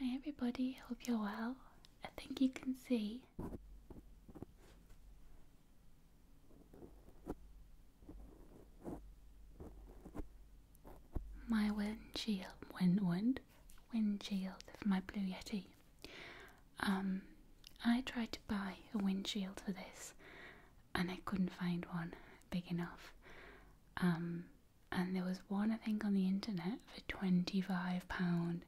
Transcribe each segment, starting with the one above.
Hi everybody, hope you're well. I think you can see my windshield, wind, wind, windshield for my Blue Yeti. Um, I tried to buy a windshield for this and I couldn't find one big enough. Um, and there was one I think on the internet for twenty-five pound,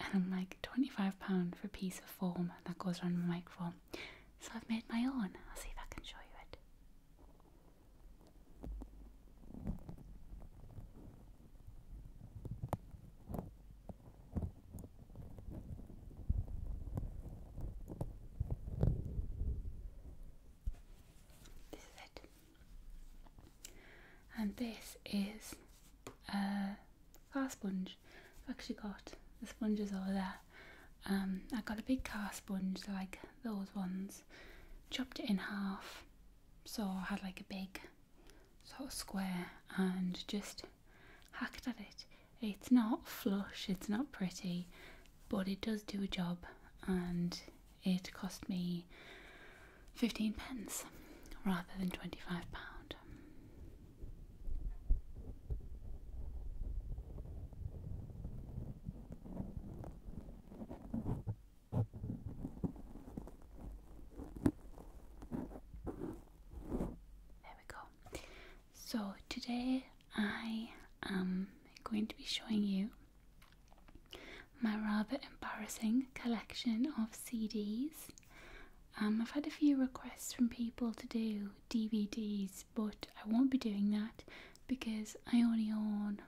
and I'm like twenty-five pound for a piece of foam that goes around my microphone. So I've made my own. I'll see if I can show you it. This is it. And this is a car sponge. I've actually got the sponges over there. Um, I got a big car sponge, like those ones, chopped it in half, so I had like a big sort of square, and just hacked at it. It's not flush, it's not pretty, but it does do a job and it cost me 15 pence rather than 25 pound. There we go. So, today I am going to be showing you my rather embarrassing collection of CDs. Um, I've had a few requests from people to do DVDs, but I won't be doing that because I only own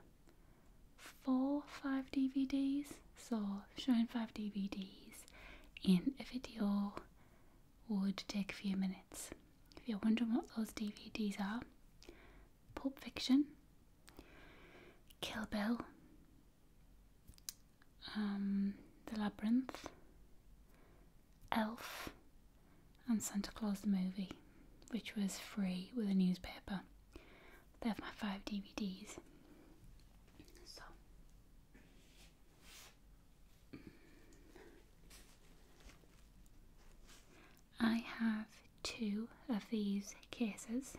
four, five DVDs. So, showing five DVDs in a video would take a few minutes. If you're wondering what those DVDs are, Pulp Fiction, Kill Bill, um, The Labyrinth, Elf, and Santa Claus the Movie, which was free with a newspaper. they my five DVDs. I have two of these cases.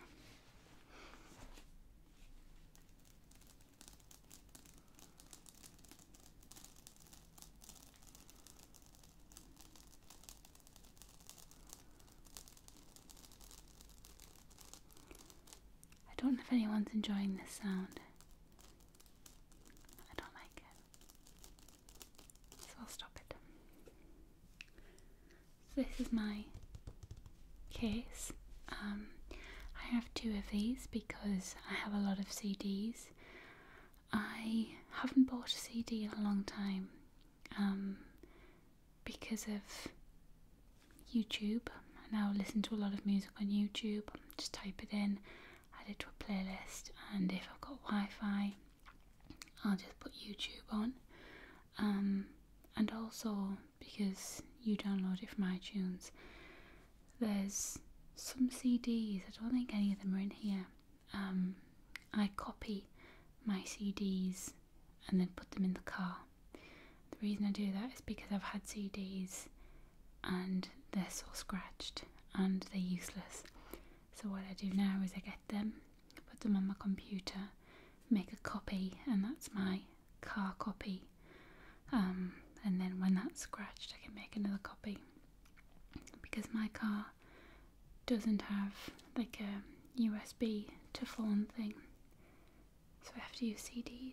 I don't know if anyone's enjoying this sound. I don't like it. So I'll stop it. So this is my case. Um, I have two of these because I have a lot of CDs. I haven't bought a CD in a long time um, because of YouTube. I now listen to a lot of music on YouTube. Just type it in add it to a playlist and if I've got Wi-Fi I'll just put YouTube on um, and also because you download it from iTunes there's some CDs I don't think any of them are in here um, I copy my CDs and then put them in the car the reason I do that is because I've had CDs and they're so scratched and they're useless. So what I do now is I get them, put them on my computer, make a copy, and that's my car copy. Um, and then when that's scratched, I can make another copy because my car doesn't have like a USB to phone thing, so I have to use CDs.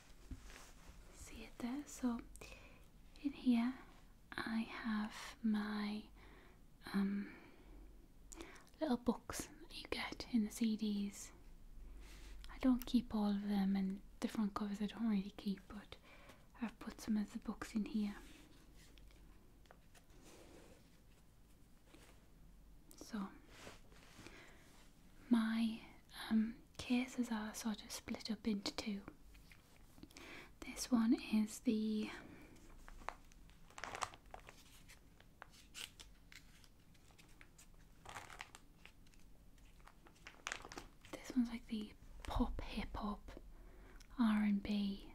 see it there so in here I have my um, little books that you get in the CDs I don't keep all of them and the front covers I don't really keep but I've put some of the books in here so my um, cases are sort of split up into two. This one is the this one's like the pop hip hop R and B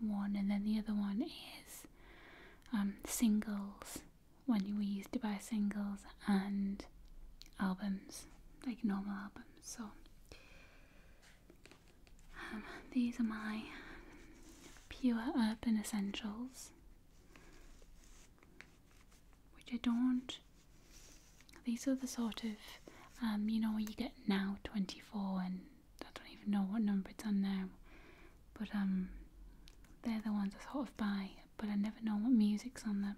one, and then the other one is um, singles when we used to buy singles and albums, like normal albums. So um, these are my pure urban essentials, which I don't. These are the sort of, um, you know, you get now 24, and I don't even know what number it's on now, but um, they're the ones I sort of buy but I never know what music's on them,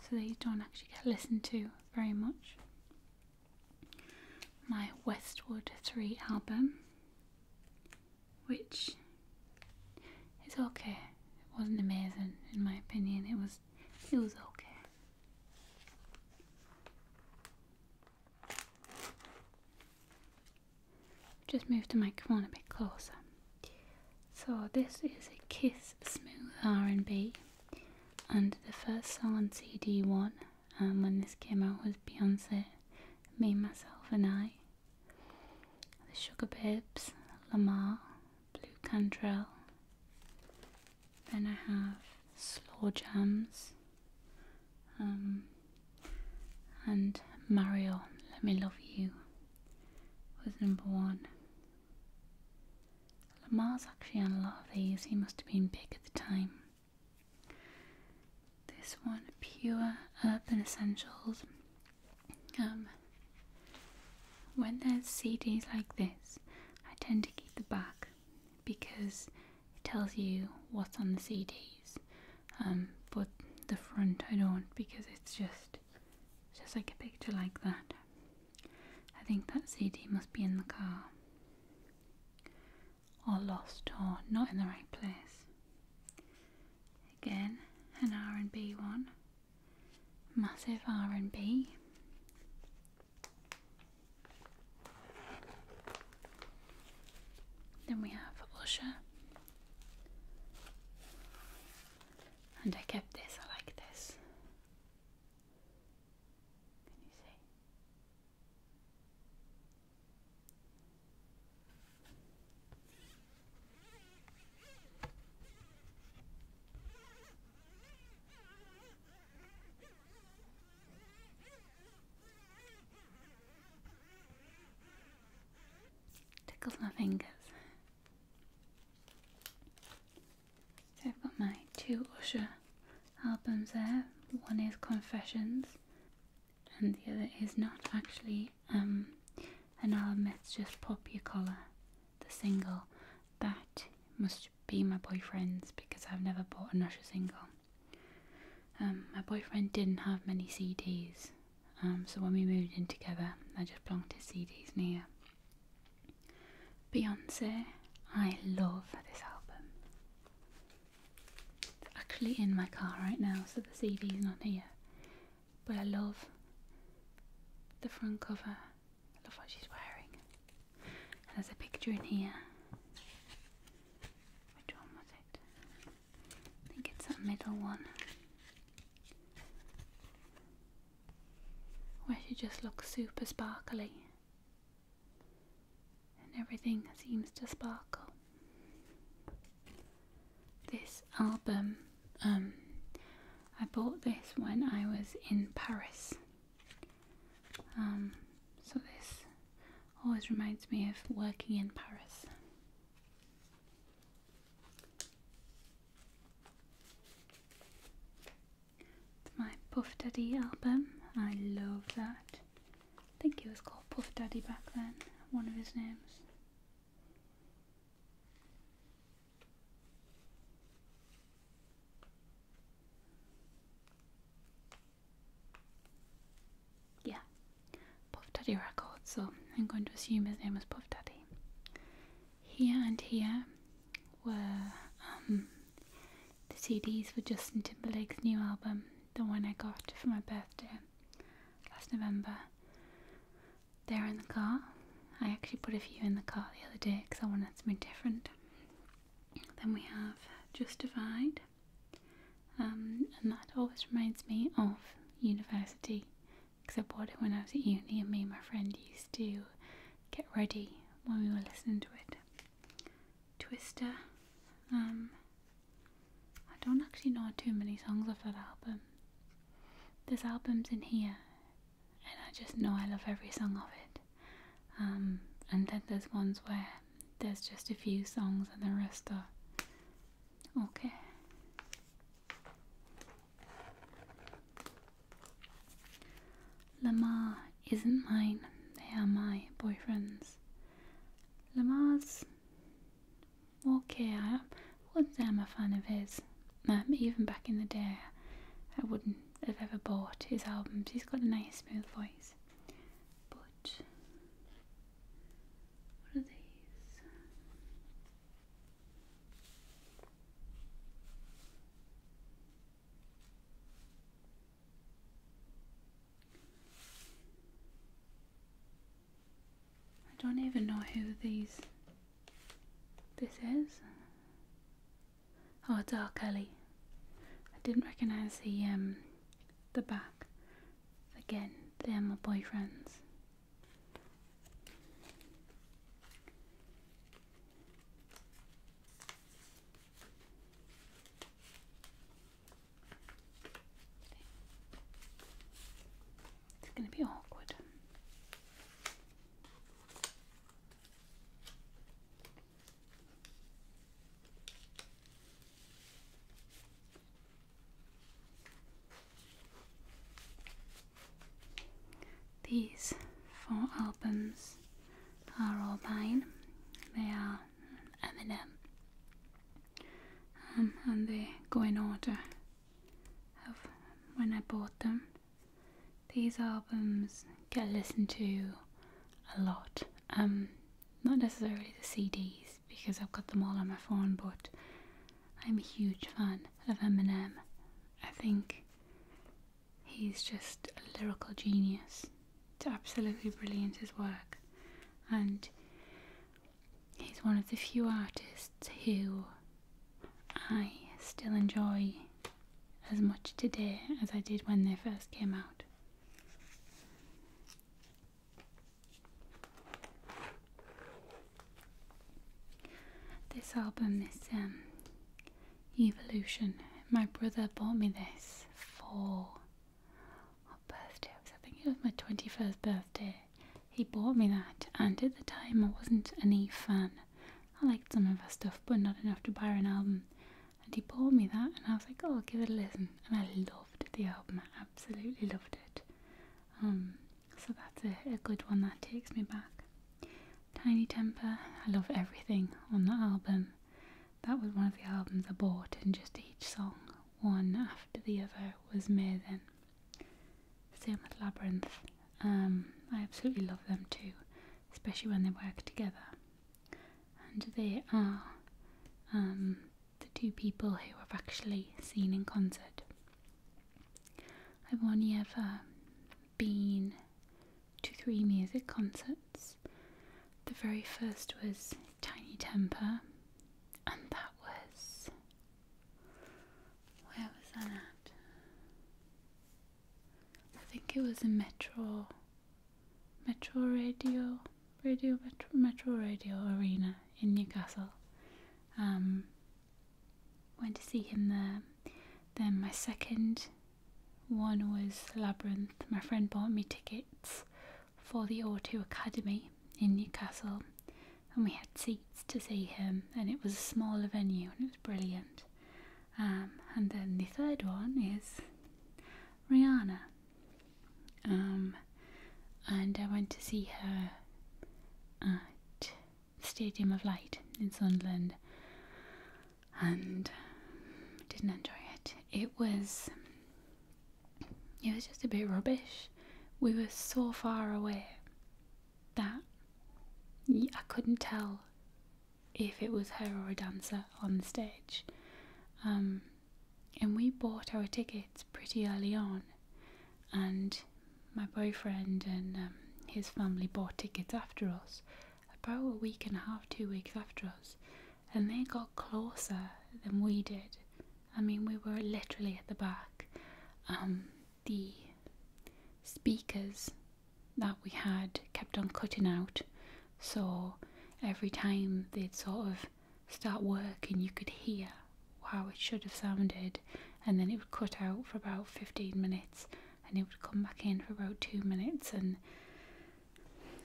so these don't actually get listened to very much. My Westwood 3 album, which is okay, it wasn't amazing in my opinion, it was, it was okay. Just move the microphone a bit closer. So this is a Kiss Smooth R&B and the first song on CD one um, when this came out was Beyonce, Me, Myself and I, The Sugar Babes, Lamar, Blue Cantrell, then I have Slow Jams um, and Mario, Let Me Love You was number one. Lamar's actually on a lot of these, he must have been big at the time. This one, Pure Urban Essentials. Um, when there's CDs like this, I tend to keep the back because it tells you what's on the CDs. Um, but the front I don't because it's just just like a picture like that. I think that CD must be in the car. Or lost, or not in the right place. Again, an R&B one. Massive R&B. Then we have Usher. And I kept this, I like this. Can you see? Tickles my fingers. So I've got my two Usher albums there. One is Confessions, and the other is not actually um, an album, it's just Pop Your Collar, the single. That must be my boyfriend's because I've never bought an Usher single. Um, my boyfriend didn't have many CDs, um, so when we moved in together, I just plonked his CDs near. Beyonce, I love this album. It's actually in my car right now, so the CD is not here. But I love the front cover. I love what she's wearing. And there's a picture in here. Which one was it? I think it's that middle one where she just looks super sparkly and everything seems to sparkle. This album, um, I bought this when I was in Paris. Um, so this always reminds me of working in Paris. It's my Puff Daddy album. I love that. I think it was called Puff Daddy back then, one of his names. Yeah, Puff Daddy Records, so I'm going to assume his name was Puff Daddy here and here um, were um, the CDs for Justin Timberlake's new album, the one I got for my birthday last November. They're in the car. I actually put a few in the car the other day because I wanted something different. Then we have Justified, um, and that always reminds me of university because I bought it when I was at uni, and me and my friend used to get ready when we were listening to it. Twister. Um, I don't actually know too many songs off that album. There's albums in here, and I just know I love every song of it. Um, and then there's ones where there's just a few songs and the rest are okay. Lamar isn't mine, they are my boyfriend's. Lamar's. Okay, I wasn't am a fan of his. Um, even back in the day, I wouldn't have ever bought his albums. He's got a nice, smooth voice. But. What are these? I don't even know who these this is. Oh, Dark Alley. I didn't recognise the um the back. Again, they're my boyfriends. It's going to be awkward. These four albums are all mine. They are Eminem. Um, and they go in order of when I bought them. These albums get listened to a lot. Um, not necessarily the CDs because I've got them all on my phone, but I'm a huge fan of Eminem. I think He's just a lyrical genius. It's absolutely brilliant his work, and he's one of the few artists who I still enjoy as much today as I did when they first came out. This album is um, Evolution. My brother bought me this for what birthday was? I think it was my 21st birthday. He bought me that, and at the time I wasn't an Eve fan. I liked some of her stuff, but not enough to buy an album. And he bought me that, and I was like, oh, I'll give it a listen. And I loved the album, I absolutely loved it. Um, so that's a good one that takes me back. Tiny Temper, I love everything on that album. That was one of the albums I bought, and just each song, one after the other, was me then. Same with Labyrinth. Um, I absolutely love them too, especially when they work together. And they are um, the two people who I've actually seen in concert. I've only ever been Two, three music concerts. The very first was Tiny Temper, and that was. Where was that at? I think it was a Metro. Metro Radio. Radio Metro, Metro Radio Arena in Newcastle. Um, Went to see him there. Then my second one was Labyrinth. My friend bought me tickets for the 0 Academy in Newcastle and we had seats to see him and it was a smaller venue and it was brilliant. Um, and then the third one is Rihanna. Um, and I went to see her at Stadium of Light in Sunderland and didn't enjoy it. It was it was just a bit rubbish. We were so far away that I couldn't tell if it was her or a dancer on the stage. Um, and we bought our tickets pretty early on and my boyfriend and um, his family bought tickets after us, about a week and a half, two weeks after us, and they got closer than we did. I mean, we were literally at the back. Um, the speakers that we had kept on cutting out, so every time they'd sort of start working, you could hear how it should have sounded, and then it would cut out for about 15 minutes and it would come back in for about two minutes and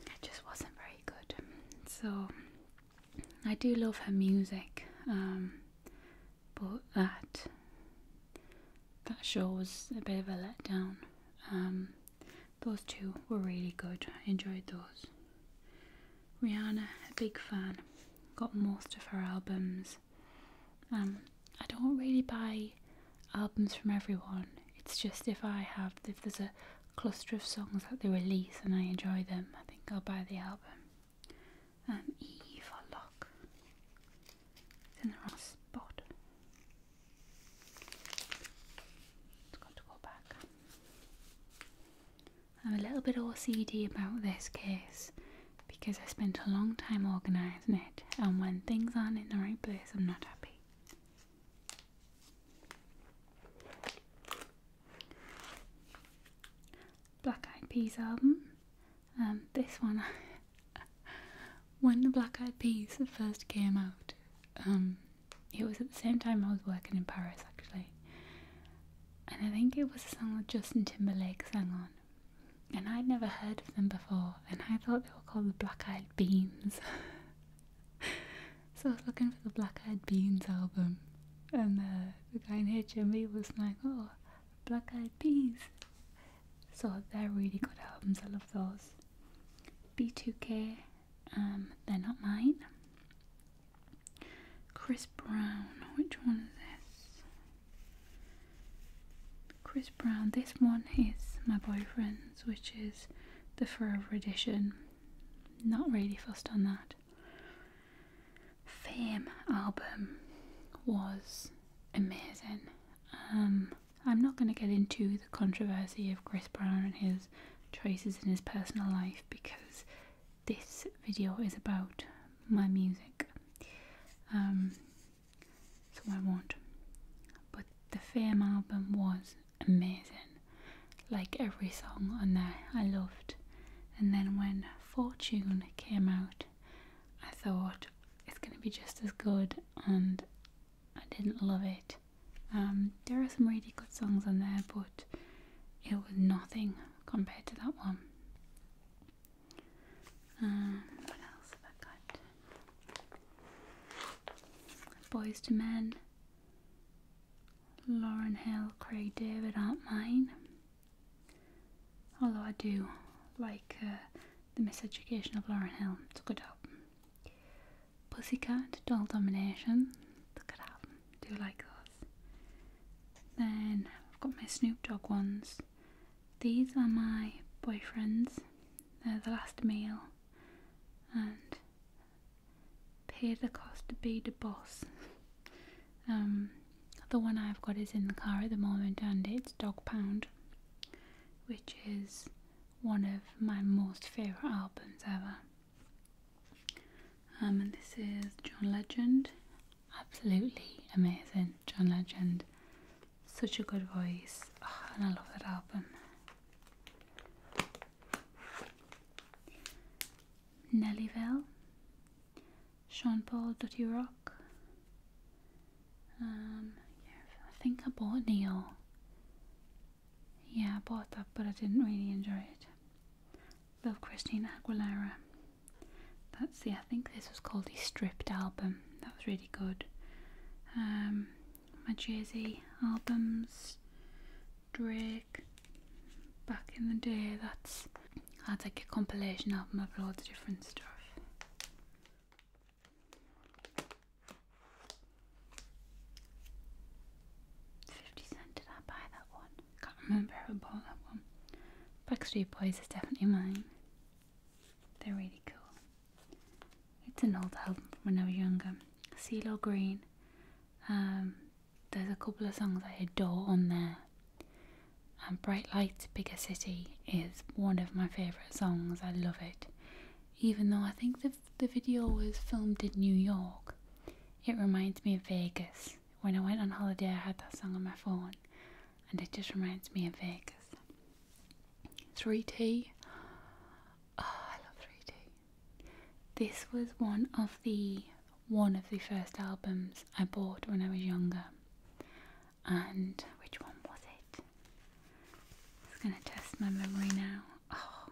it just wasn't very good. So I do love her music, um, but that that show was a bit of a letdown. Um, those two were really good. I enjoyed those. Rihanna, a big fan, got most of her albums. Um, I don't really buy albums from everyone. It's just if I have if there's a cluster of songs that they release and I enjoy them, I think I'll buy the album. Um, E for lock. It's in the wrong spot. It's got to go back. I'm a little bit OCD about this case because I spent a long time organizing it, and when things aren't in the right place, I'm not happy. Black Eyed Peas album. Um, this one, when the Black Eyed Peas first came out, um, it was at the same time I was working in Paris actually, and I think it was a song that Justin Timberlake sang on, and I'd never heard of them before, and I thought they were called the Black Eyed Beans. so I was looking for the Black Eyed Beans album, and uh, the guy in HMV was like, "Oh, Black Eyed Peas." So they're really good albums. I love those. B2K, um, they're not mine. Chris Brown, which one is this? Chris Brown. This one is my boyfriend's, which is the Forever Edition. Not really fussed on that. Fame album was amazing. Um, I'm not going to get into the controversy of Chris Brown and his choices in his personal life because this video is about my music. Um, so I won't. But the Fame album was amazing. Like every song on there, I loved. And then when Fortune came out, I thought it's going to be just as good, and I didn't love it. Um, there are some really good songs on there, but it was nothing compared to that one what else have I got? Boys to Men, Lauren Hill, Craig David aren't mine. Although I do like uh, The Miseducation of Lauren Hill, it's a good album. Pussycat, Doll Domination, it's a good album, do like those. Then I've got my Snoop Dogg ones. These are my boyfriend's. They're the last meal. And pay the cost to be the boss. Um, the one I've got is in the car at the moment and it's Dog Pound, which is one of my most favourite albums ever. Um, and this is John Legend. Absolutely amazing, John Legend. Such a good voice, ah, and I love that album. Nellyville, Sean Paul, Dirty Rock. Um, yeah, I think I bought Neil. Yeah, I bought that, but I didn't really enjoy it. Love Christina Aguilera. That's the, I think this was called the Stripped album that was really good. Um, my Jay-Z albums, Drake, back in the day, that's that's like a compilation album of loads of different stuff. Fifty cent did I buy that one? Can't remember if bought that one. Backstreet Boys is definitely mine. They're really cool. It's an old album from when I was younger. CeeLo Green. Um, there's a couple of songs I adore on there. And Bright Lights, Bigger City is one of my favourite songs. I love it. Even though I think the, the video was filmed in New York, it reminds me of Vegas. When I went on holiday, I had that song on my phone, and it just reminds me of Vegas. 3D. love 3D. This was one of the one of the first albums I bought when I was younger. And which one was it? It's gonna test my memory now. Oh,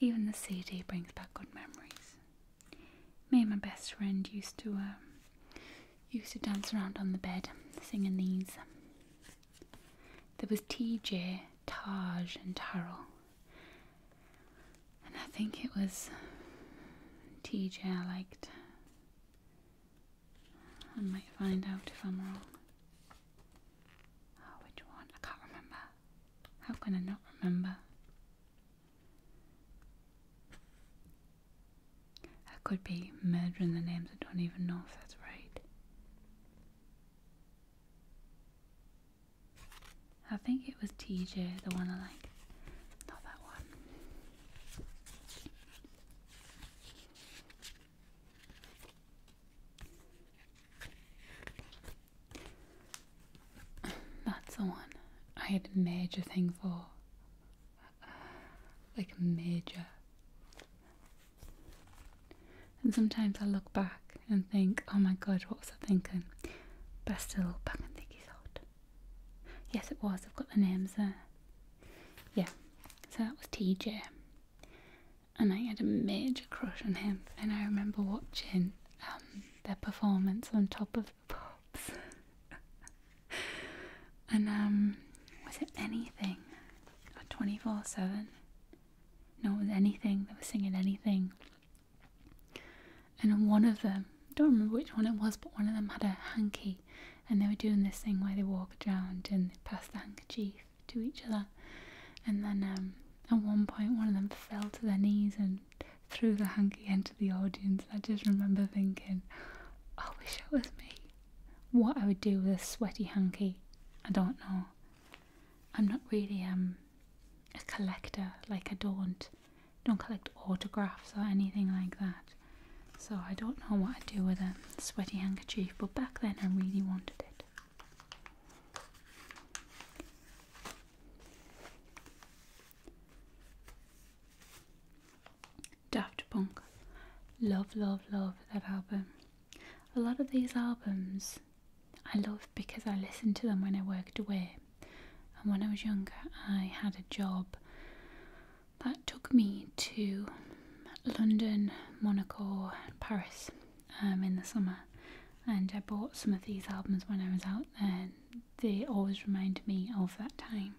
even the CD brings back good memories. Me and my best friend used to um, used to dance around on the bed singing these. There was TJ, Taj, and Taral, And I think it was TJ I liked. I might find out if I'm wrong. Oh, which one? I can't remember. How can I not remember? I could be murdering the names I don't even know if that's right. I think it was TJ, the one I like. Not that one. That's the one I had major thing for like major. And sometimes I look back and think, oh my god, what was I thinking? But I still back and think he's odd. Yes, it was. I've got the names there. Yeah, so that was TJ. And I had a major crush on him. And I remember watching um, their performance on top of the pops. And um, was it anything? Twenty four seven? No, it was anything. They were singing anything. And one of them, I don't remember which one it was, but one of them had a hanky, and they were doing this thing where they walk around and pass the handkerchief to each other. And then um, at one point, one of them fell to their knees and threw the hanky into the audience. I just remember thinking, I wish it was me. What I would do with a sweaty hanky, I don't know. I'm not really um a collector. Like I don't don't collect autographs or anything like that. So I don't know what I'd do with a sweaty handkerchief. But back then I really wanted it. Daft Punk. Love, love, love that album. A lot of these albums I love because I listened to them when I worked away. And when I was younger, I had a job that took me to London, Monaco, Paris um, in the summer. And I bought some of these albums when I was out there. They always remind me of that time.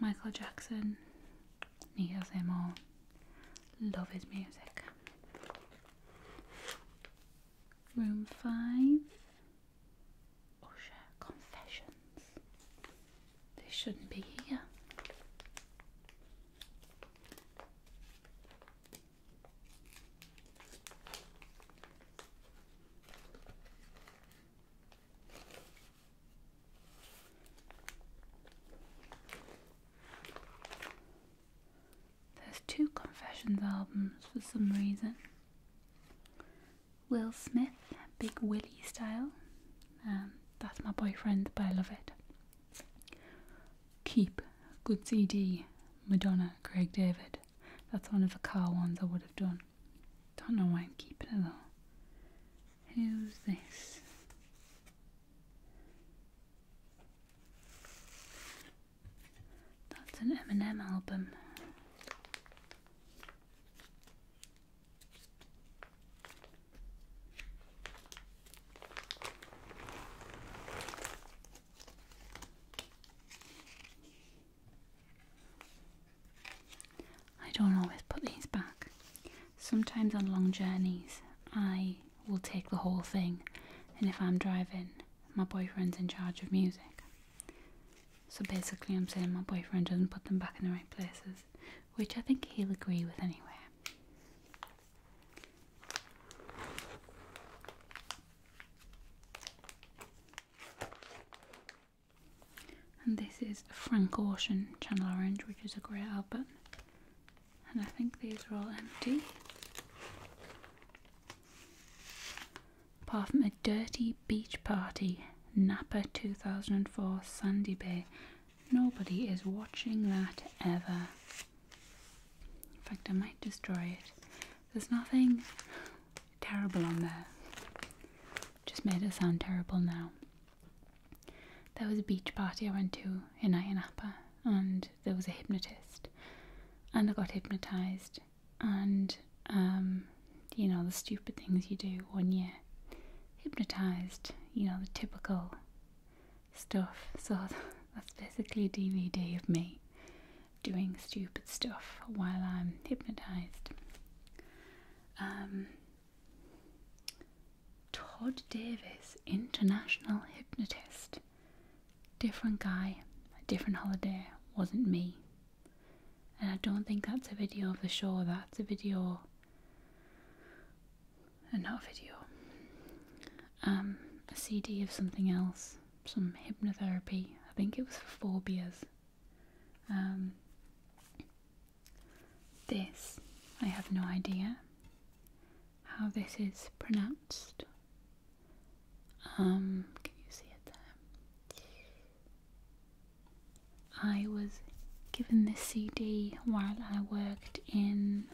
Michael Jackson, Nina Simone, love his music. Room 5 Usher Confessions. They shouldn't be here. There's two Confessions albums for some reason. Will Smith, Big Willie style. Um, that's my boyfriend, but I love it. Keep, good CD, Madonna, Craig David. That's one of the car ones I would have done. Don't know why I'm keeping it though. Who's this? That's an Eminem album. I don't always put these back. Sometimes on long journeys, I will take the whole thing, and if I'm driving, my boyfriend's in charge of music. So basically, I'm saying my boyfriend doesn't put them back in the right places, which I think he'll agree with anyway. And this is Frank Ocean Channel Orange, which is a great album. And I think these are all empty. Apart from a dirty beach party, Napa 2004 Sandy Bay. Nobody is watching that ever. In fact, I might destroy it. There's nothing terrible on there. Just made it sound terrible now. There was a beach party I went to in Ayanapa, and there was a hypnotist, and I got hypnotized, and um, you know the stupid things you do when you're hypnotized. You know the typical stuff. So that's basically a DVD of me doing stupid stuff while I'm hypnotized. Um, Todd Davis, international hypnotist. Different guy, a different holiday, wasn't me. And I don't think that's a video of the show, that's a video. And uh, not a video. Um, a CD of something else, some hypnotherapy. I think it was for phobias. Um, this, I have no idea how this is pronounced. Um, can you see it there? I was given this CD while I worked in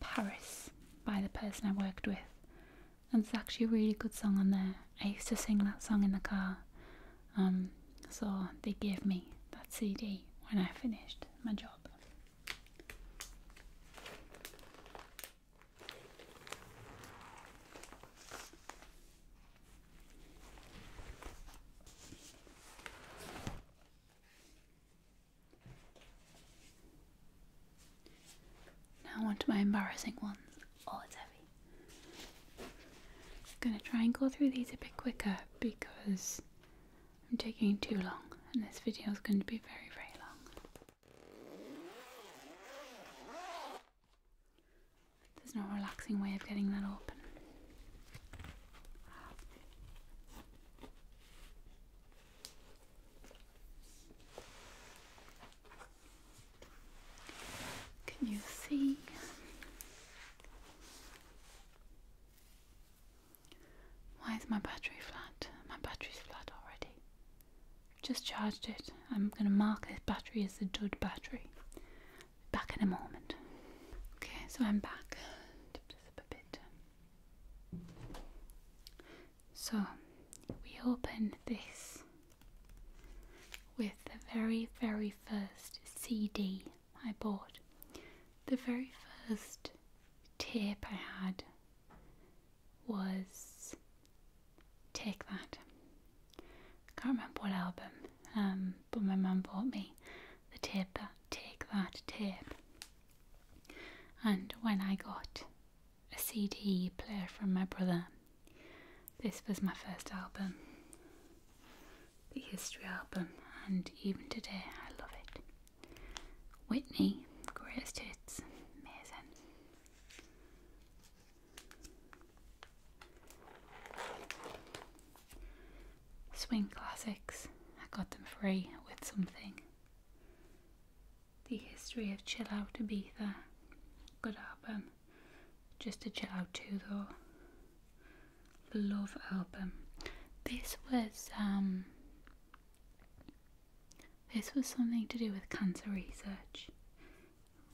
Paris by the person I worked with. And it's actually a really good song on there. I used to sing that song in the car um, so they gave me that CD when I finished my job. Now on to my embarrassing ones. Oh, it's heavy. I'm gonna try and go through these a bit quicker because I'm taking too long and this video is going to be very, very long. There's no relaxing way of getting that open. Can you see why is my battery flat? My battery's flat already. Just charged it. I'm going to mark this battery as the dud battery. Back in a moment. Okay, so I'm back. So, we open this with the very, very first CD I bought, the very first tape I had was Take That. I can't remember what album, um, but my mum bought me the tape that Take That tape. And when I got a CD player from my brother, this was my first album the history album, and even today I love it. Whitney, greatest hits, amazing. Swing Classics, I got them free with something. The History of Chill Out Ibiza, good album. Just a chill out too though love album. This was um this was something to do with cancer research.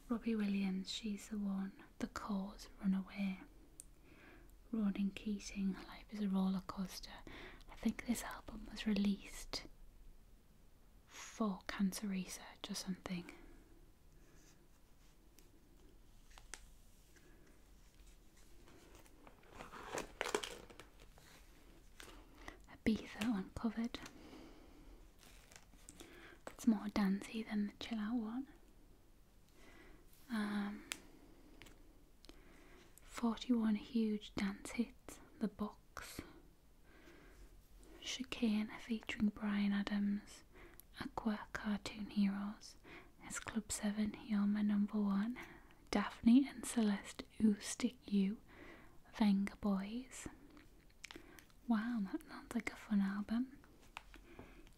Robbie Williams, she's the one, the cause, runaway. Ronan Keating, Life is a Roller Coaster. I think this album was released for cancer research or something. Ibiza Uncovered. It's more dancey than the chill out one. Um, 41 huge dance hits, The Box, Chicane featuring Brian Adams Aqua Cartoon Heroes, as Club 7 Yelma Number 1, Daphne and Celeste Ooh Stick You, Venga Boys. Wow, that sounds like a fun album.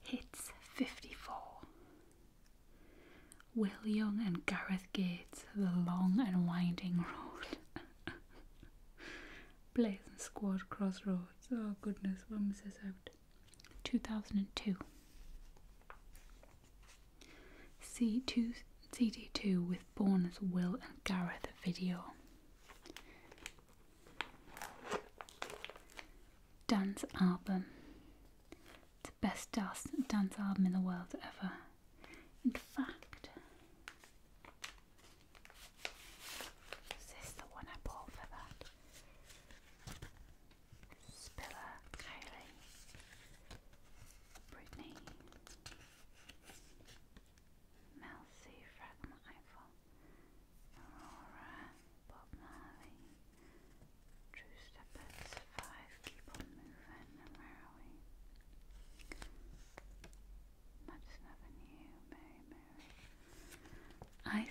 Hits 54. Will Young and Gareth Gates, The Long and Winding Road. Blazing Squad Crossroads. Oh goodness, when was this out? 2002. C2, CD2 with Born's Will and Gareth video. Dance album. It's the best dance, dance album in the world ever. In fact, is the one I bought for that? Spiller, Kylie, Brittany, Melcy, Fragment Eiffel, Aurora, Bob Marley, True Steppers, Five, Keep On Moving, and where are we? Mary Mary. I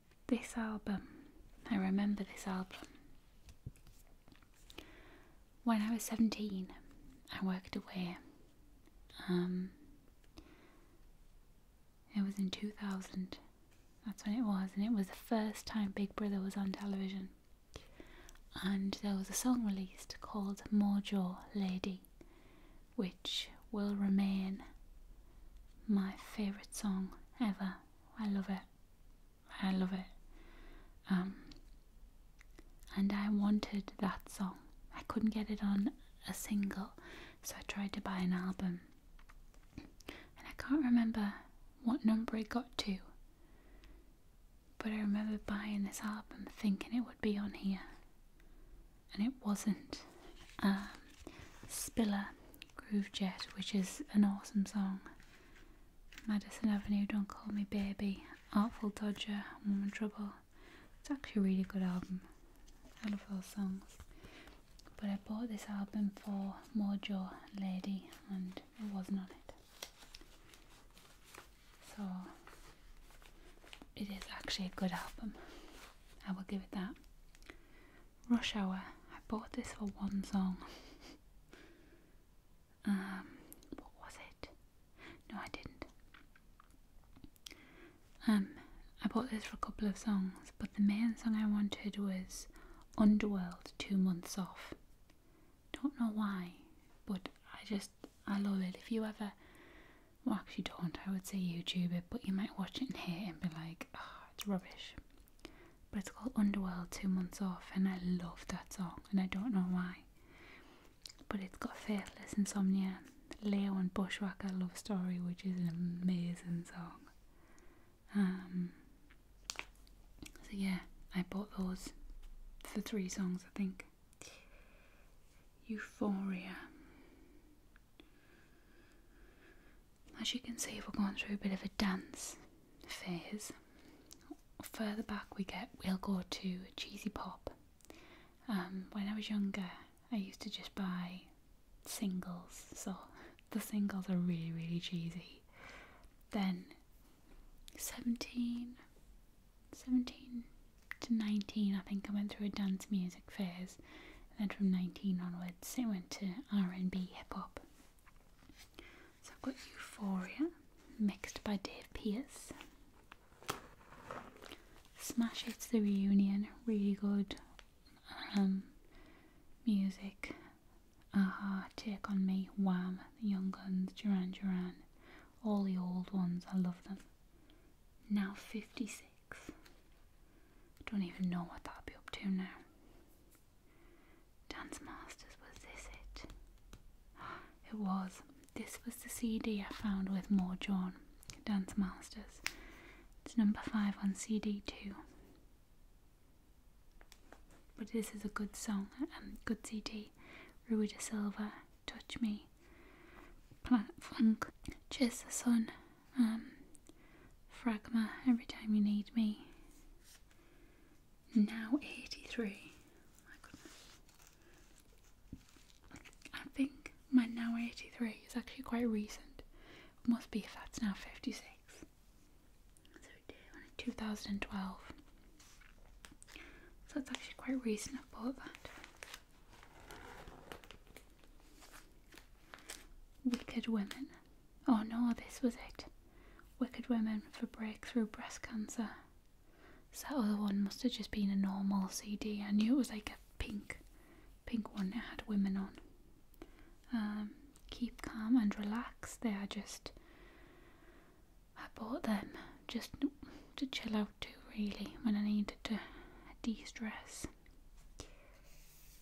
This album, I remember this album. When I was 17, I worked away. Um, it was in 2000. That's when it was, and it was the first time Big Brother was on television. And there was a song released called Mojo Lady, which will remain my favourite song ever. I love it. I love it. Um, and I wanted that song. I couldn't get it on a single, so I tried to buy an album. And I can't remember what number it got to, but I remember buying this album thinking it would be on here, and it wasn't. Um, Spiller Groovejet, which is an awesome song. Madison Avenue, Don't Call Me Baby, Artful Dodger, Woman Trouble. It's actually a really good album. I love all songs. But I bought this album for Mojo Lady and it wasn't on it. So it is actually a good album. I will give it that. Rush Hour. I bought this for one song. um, what was it? No, I didn't. Um, I bought this for a couple of songs, but the main song I wanted was Underworld Two Months Off. Don't know why, but I just, I love it. If you ever, well, actually don't, I would say YouTube it, but you might watch it and hate it and be like, oh, it's rubbish. But it's called Underworld Two Months Off, and I love that song, and I don't know why. But it's got Faithless, Insomnia, Leo, and Bushwhacker Love Story, which is an amazing song. Um, so, yeah, I bought those for three songs, I think. Euphoria. As you can see, we're going through a bit of a dance phase. Further back we get, we'll go to cheesy pop. Um, when I was younger, I used to just buy singles, so the singles are really, really cheesy. Then 17, 17 to 19, I think I went through a dance music phase. And then from 19 onwards, I went to R&B, hip hop. So I've got Euphoria, mixed by Dave Pierce. Smash it to the Reunion, really good um, music. Aha, Take on Me, Wham, The Young Guns, Duran Duran, all the old ones, I love them. Now 56. Don't even know what that'll be up to now. Dance Masters, was this it? It was. This was the CD I found with More John, Dance Masters. It's number five on CD2. But this is a good song, and um, good CD. Rui de Silva, Touch Me, Planet Funk, Just the Sun, um, Fragma, Every Time You Need Me now 83. My goodness. I think my now 83 is actually quite recent. must be if that's now 56. So 2012. So it's actually quite reasonable. I that. Wicked Women Oh no, this was it. Wicked Women for Breakthrough Breast Cancer. that other one must have just been a normal CD. I knew it was like a pink, pink one. that had women on. Um, keep calm and relax. They are just. I bought them just to chill out too. really when I needed to de-stress.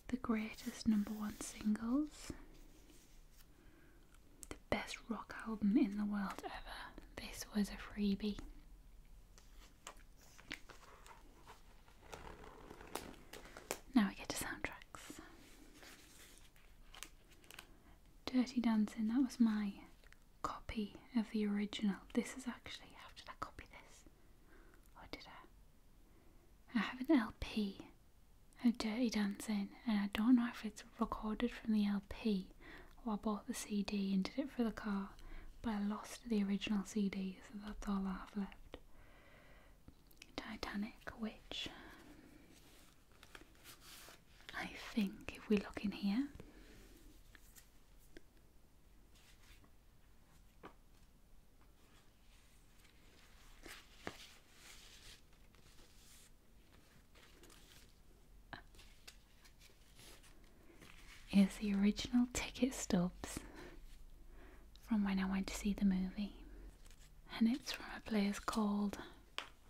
The greatest number one singles the best rock album in the world ever. This was a freebie. Now we get to soundtracks. Dirty Dancing, that was my copy of the original. This is actually, how did I copy this? Or did I? I have an LP a dirty dancing, and I don't know if it's recorded from the LP or I bought the CD and did it for the car, but I lost the original CD, so that's all I have left. Titanic, which I think if we look in here. Is the original ticket stubs from when I went to see the movie. And it's from a place called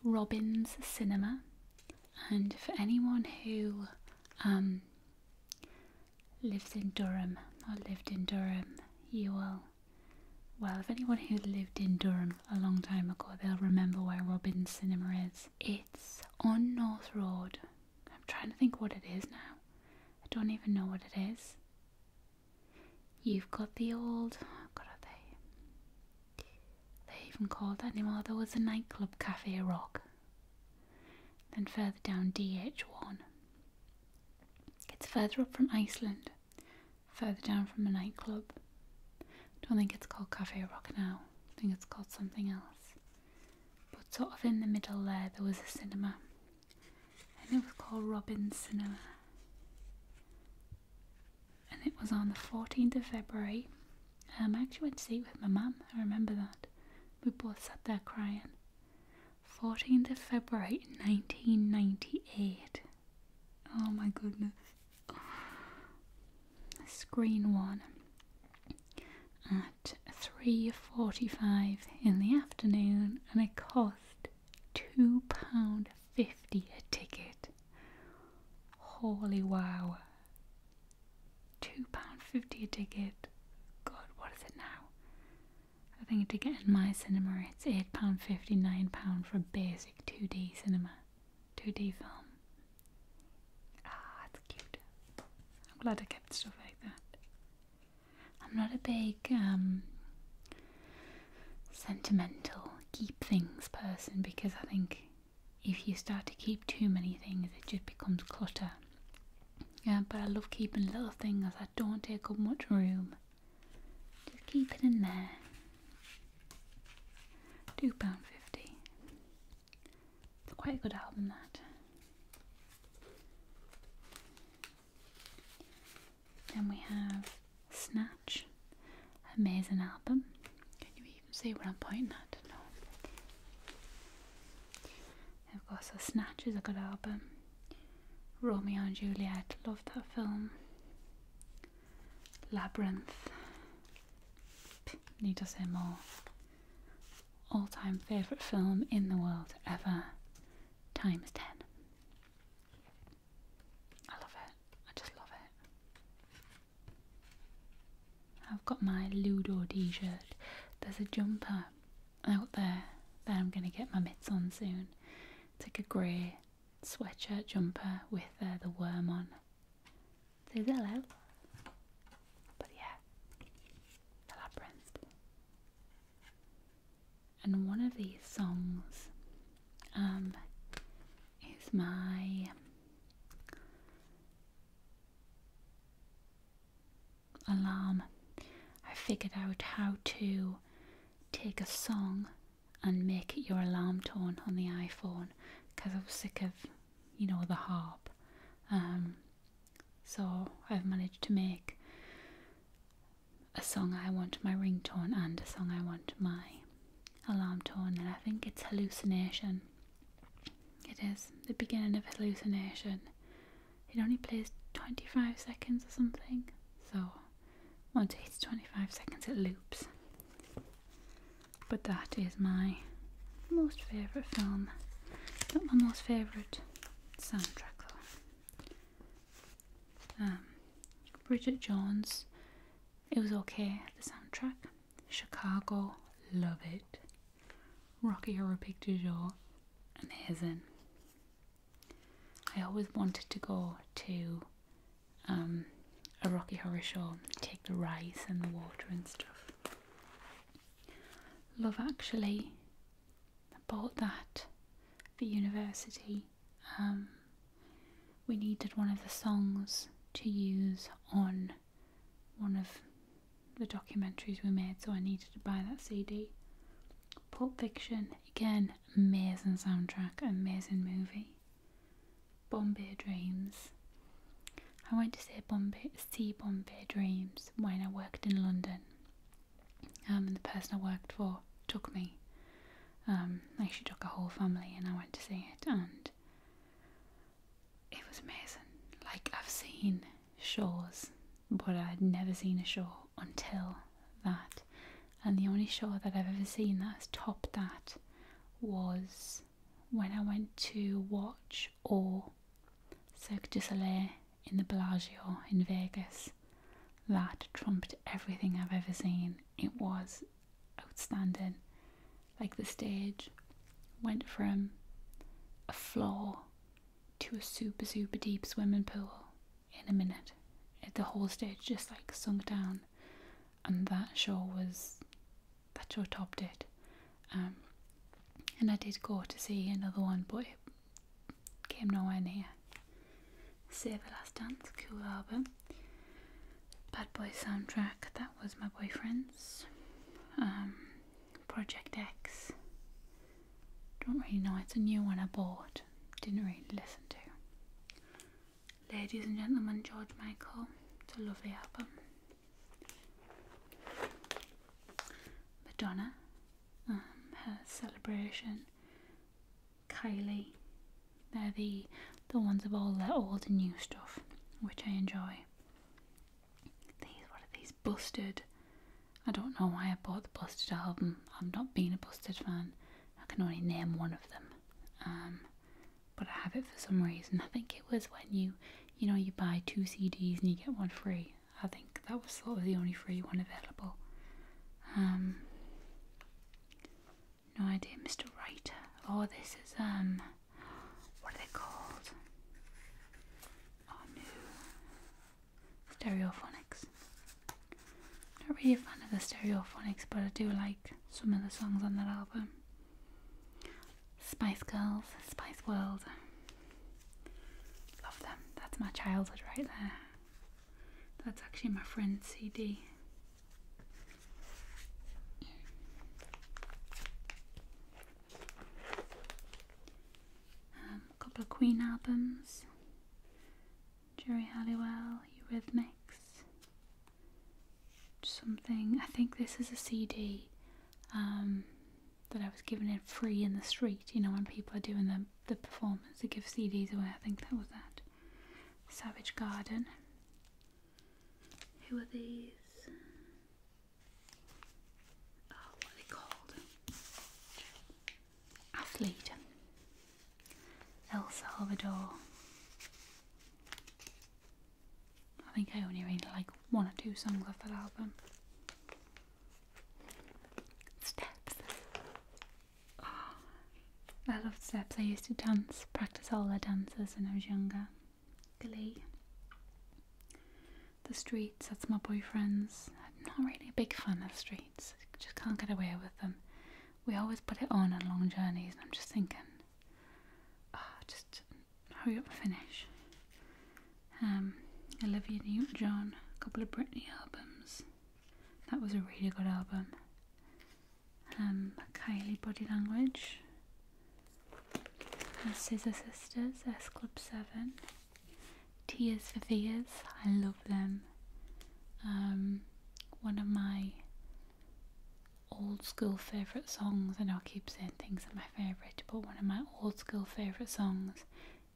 Robin's Cinema. And for anyone who um, lives in Durham or lived in Durham, you will well, if anyone who lived in Durham a long time ago, they'll remember where Robin's Cinema is. It's on North Road. I'm trying to think what it is now. I don't even know what it is. You've got the old. Oh are they? They even called that anymore. There was a nightclub, Cafe Rock. Then further down, DH1. It's further up from Iceland further down from the nightclub. I Don't think it's called Cafe Rock now. I think it's called something else. But sort of in the middle there, there was a cinema, and it was called Robin's Cinema, and it was on the fourteenth of February. Um, I actually went to see it with my mum. I remember that. We both sat there crying. 14th of February 1998. Oh my goodness. Screen one at 3.45 in the afternoon and it cost £2.50 a ticket. Holy wow. £2.50 a ticket. God, what is it now? I think a ticket in my cinema it's 8 pounds fifty, pounds for a basic 2D cinema, 2D film. Ah, that's cute. I'm glad I kept stuff like that. I'm not a big um, sentimental keep things person because I think if you start to keep too many things, it just becomes clutter. Yeah, but I love keeping little things that don't take up much room just keep it in there. £2.50. It's quite a good album, that. Then we have Snatch. Amazing album. Can you even see where I'm pointing at? No. Of course, so Snatch is a good album. Romeo and Juliet, love that film. Labyrinth. Need to say more. All time favourite film in the world ever, times 10. I love it. I just love it. I've got my Ludo t shirt. There's a jumper out there that I'm going to get my mitts on soon. It's like a grey sweatshirt jumper with uh, the worm on. Says hello. But yeah, the labyrinth. And one of these songs um, is my. Um, alarm. I figured out how to take a song and make it your alarm tone on the iPhone because I'm sick of, you know, the harp. Um, so I've managed to make a song I want my ringtone and a song I want my alarm tone, and I think it's Hallucination. It is the beginning of Hallucination. It only plays 25 seconds or something, so once it's 25 seconds it loops but that is my most favourite film not my most favourite soundtrack though um, Bridget Jones it was okay the soundtrack Chicago love it Rocky Horror Picture Show amazing I always wanted to go to um, a Rocky Horror Show, take the rice and the water and stuff. Love Actually, bought that for university. Um, we needed one of the songs to use on one of the documentaries we made, so I needed to buy that CD. Pulp Fiction, again, amazing soundtrack, amazing movie. Bombay Dreams. I went to see Bombay, see Bombay Dreams when I worked in London. Um, and the person I worked for took me. Um, like took a whole family, and I went to see it, and it was amazing. Like I've seen shows, but I'd never seen a show until that, and the only show that I've ever seen that has topped that was when I went to watch or Cirque du Soleil in the Bellagio in Vegas. That trumped everything I've ever seen. It was outstanding. Like the stage went from a floor to a super, super deep swimming pool in a minute. The whole stage just like sunk down and that show was that show topped it. Um, and I did go to see another one, but it came nowhere near. Save the Last Dance, cool album. Bad Boy soundtrack, that was my boyfriend's. Um, Project X. Don't really know, it's a new one I bought, didn't really listen to. Ladies and Gentlemen, George Michael. It's a lovely album. Madonna, um, her celebration. Kylie, they're the the ones of all their old and new stuff, which I enjoy. These what are these Busted? I don't know why I bought the Busted album. I've not been a Busted fan. I can only name one of them. Um, but I have it for some reason. I think it was when you, you know, you buy two CDs and you get one free. I think that was sort of the only free one available. Um, no idea, Mr. Writer. Oh, this is um, what are they called? Oh no, stereophonics. Not really a fan of the Stereophonics, but I do like some of the songs on that album. Spice Girls, Spice World. Love them. That's my childhood right there. That's actually my friend's CD. a um, couple of Queen albums. Jerry Halliwell, Eurythmics, something. I think this is a CD um, that I was given it free in the street. You know, when people are doing the, the performance, they give CDs away. I think that was that. Savage Garden. Who are these? Oh, what are they called? Athlete. El Salvador. I think I only read like one or two songs off that album. Steps. Ah, I love steps. I used to dance, practice all the dances when I was younger. Glee. The streets, that's my boyfriend's. I'm not really a big fan of streets. just can't get away with them we always put it on on long journeys, and I'm just thinking, ah, just hurry up and finish. Um, Olivia Newton John, a couple of Britney albums. That was a really good album. Um, Kylie Body Language. And Scissor Sisters, S Club 7. Tears for Fears, I love them. Um, one of my old school favourite songs. and I will keep saying things are my favourite, but one of my old school favourite songs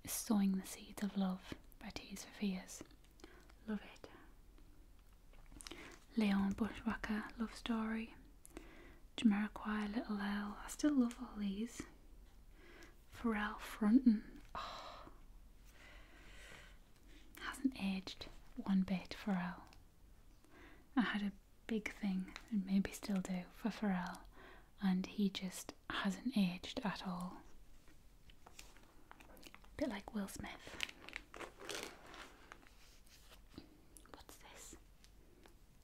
is Sowing the Seeds of Love by Tears for Love it. Leon Bushwacker, Love Story. Jamiroquai, Little L. I still love all these. Pharrell Fronton. Oh. Ah hasn't aged one bit, Pharrell. I had a big thing, and maybe still do, for Pharrell, and he just hasn't aged at all. bit like Will Smith. What's this?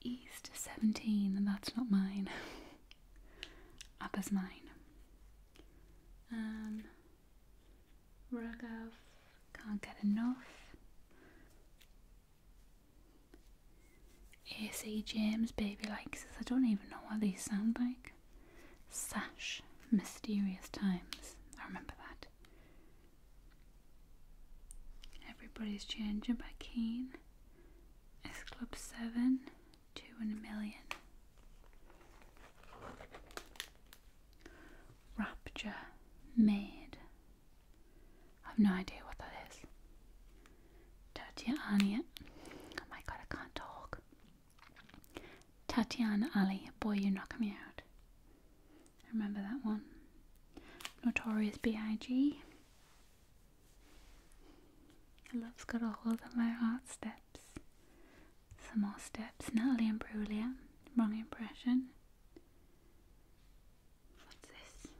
East 17, and that's not mine. Up Abba's mine. Um, rug can't get enough. AC James Baby Likes, I don't even know what these sound like. Sash, Mysterious Times, I remember that. Everybody's Changing by Keen. S Club 7, 2 and a Million. Rapture made. I've no idea what that is. Tatiana. Oh my god, I can't talk. Tatiana Ali. Boy, you knock me out. remember that one. Notorious B.I.G. Love's got a hold of my heart steps. Some more steps. Natalie and Brulia. Wrong impression. What's this?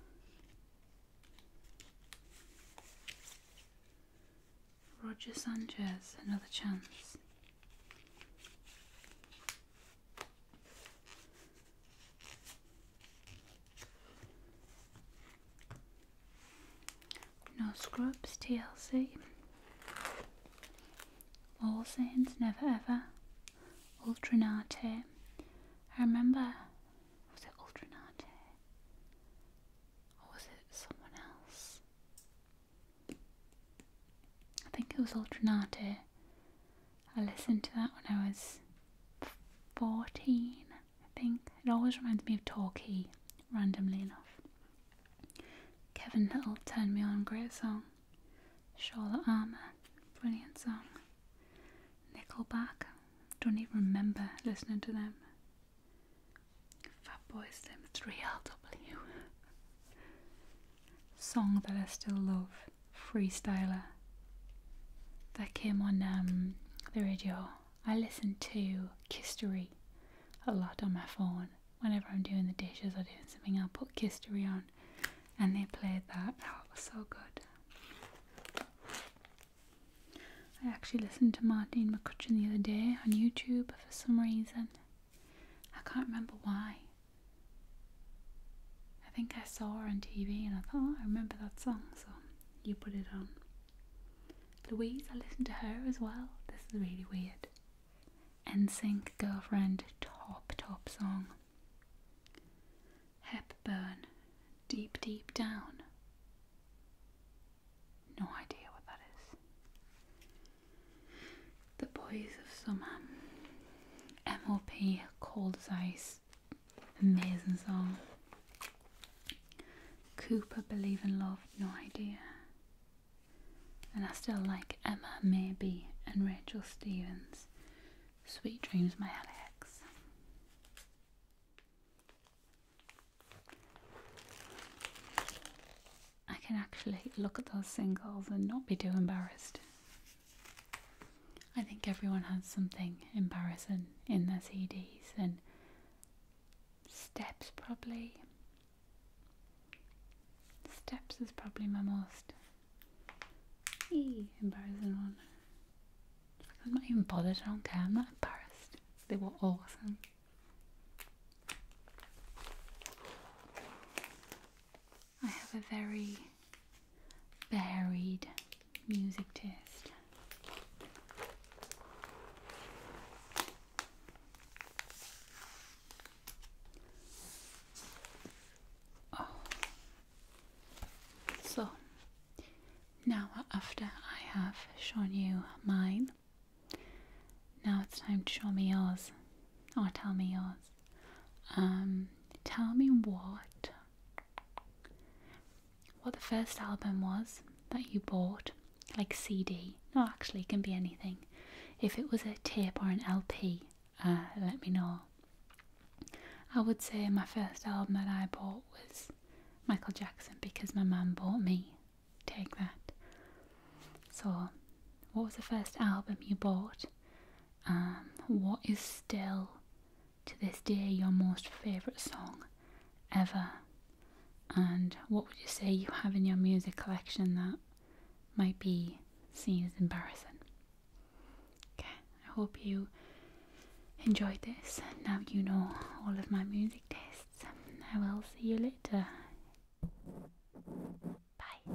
Roger Sanchez. Another chance. No Scrubs, TLC. All Saints Never Ever, Ultranate. I remember, was it Ultranate? Or was it someone else? I think it was Ultranate. I listened to that when I was 14, I think. It always reminds me of Torquay, randomly enough. Kevin Little turned me on, great song. Shawla Armour, brilliant song. Nickelback, don't even remember listening to them. Fat Boys, them 3LW. song that I still love, Freestyler. That came on um, the radio. I listen to Kistery a lot on my phone whenever I'm doing the dishes or doing something, I'll put Kistery on, and they played that. Oh, it was so good. I actually listened to Martine McCutcheon the other day on YouTube for some reason. I can't remember why. I think I saw her on TV and I thought, oh, I remember that song, so you put it on. Louise, I listened to her as well. This is really weird. NSYNC Girlfriend, top, top song. Hepburn, Deep, Deep Down. No idea what that is. The Boys of Summer. MLP, Cold as Ice. Amazing song. Cooper, Believe in Love. No idea. And I still like Emma Maybe and Rachel Stevens. Sweet Dreams, my Alex. I can actually look at those singles and not be too embarrassed. I think everyone has something embarrassing in their CDs and Steps probably. Steps is probably my most embarrassing one. I'm not even bothered, I don't care, I'm not embarrassed. They were awesome. I have a very varied music taste. Oh. So now after I have shown you mine, now it's time to show me yours or tell me yours. Um, tell me what what the first album was that you bought, like CD. No, actually, it can be anything. If it was a tape or an LP, uh, let me know. I would say my first album that I bought was Michael Jackson because my mum bought me. Take that. So, what was the first album you bought? Um, what is still to this day your most favourite song ever? And what would you say you have in your music collection that might be seen as embarrassing. Okay, I hope you enjoyed this. Now you know all of my music tastes. I will see you later. Bye.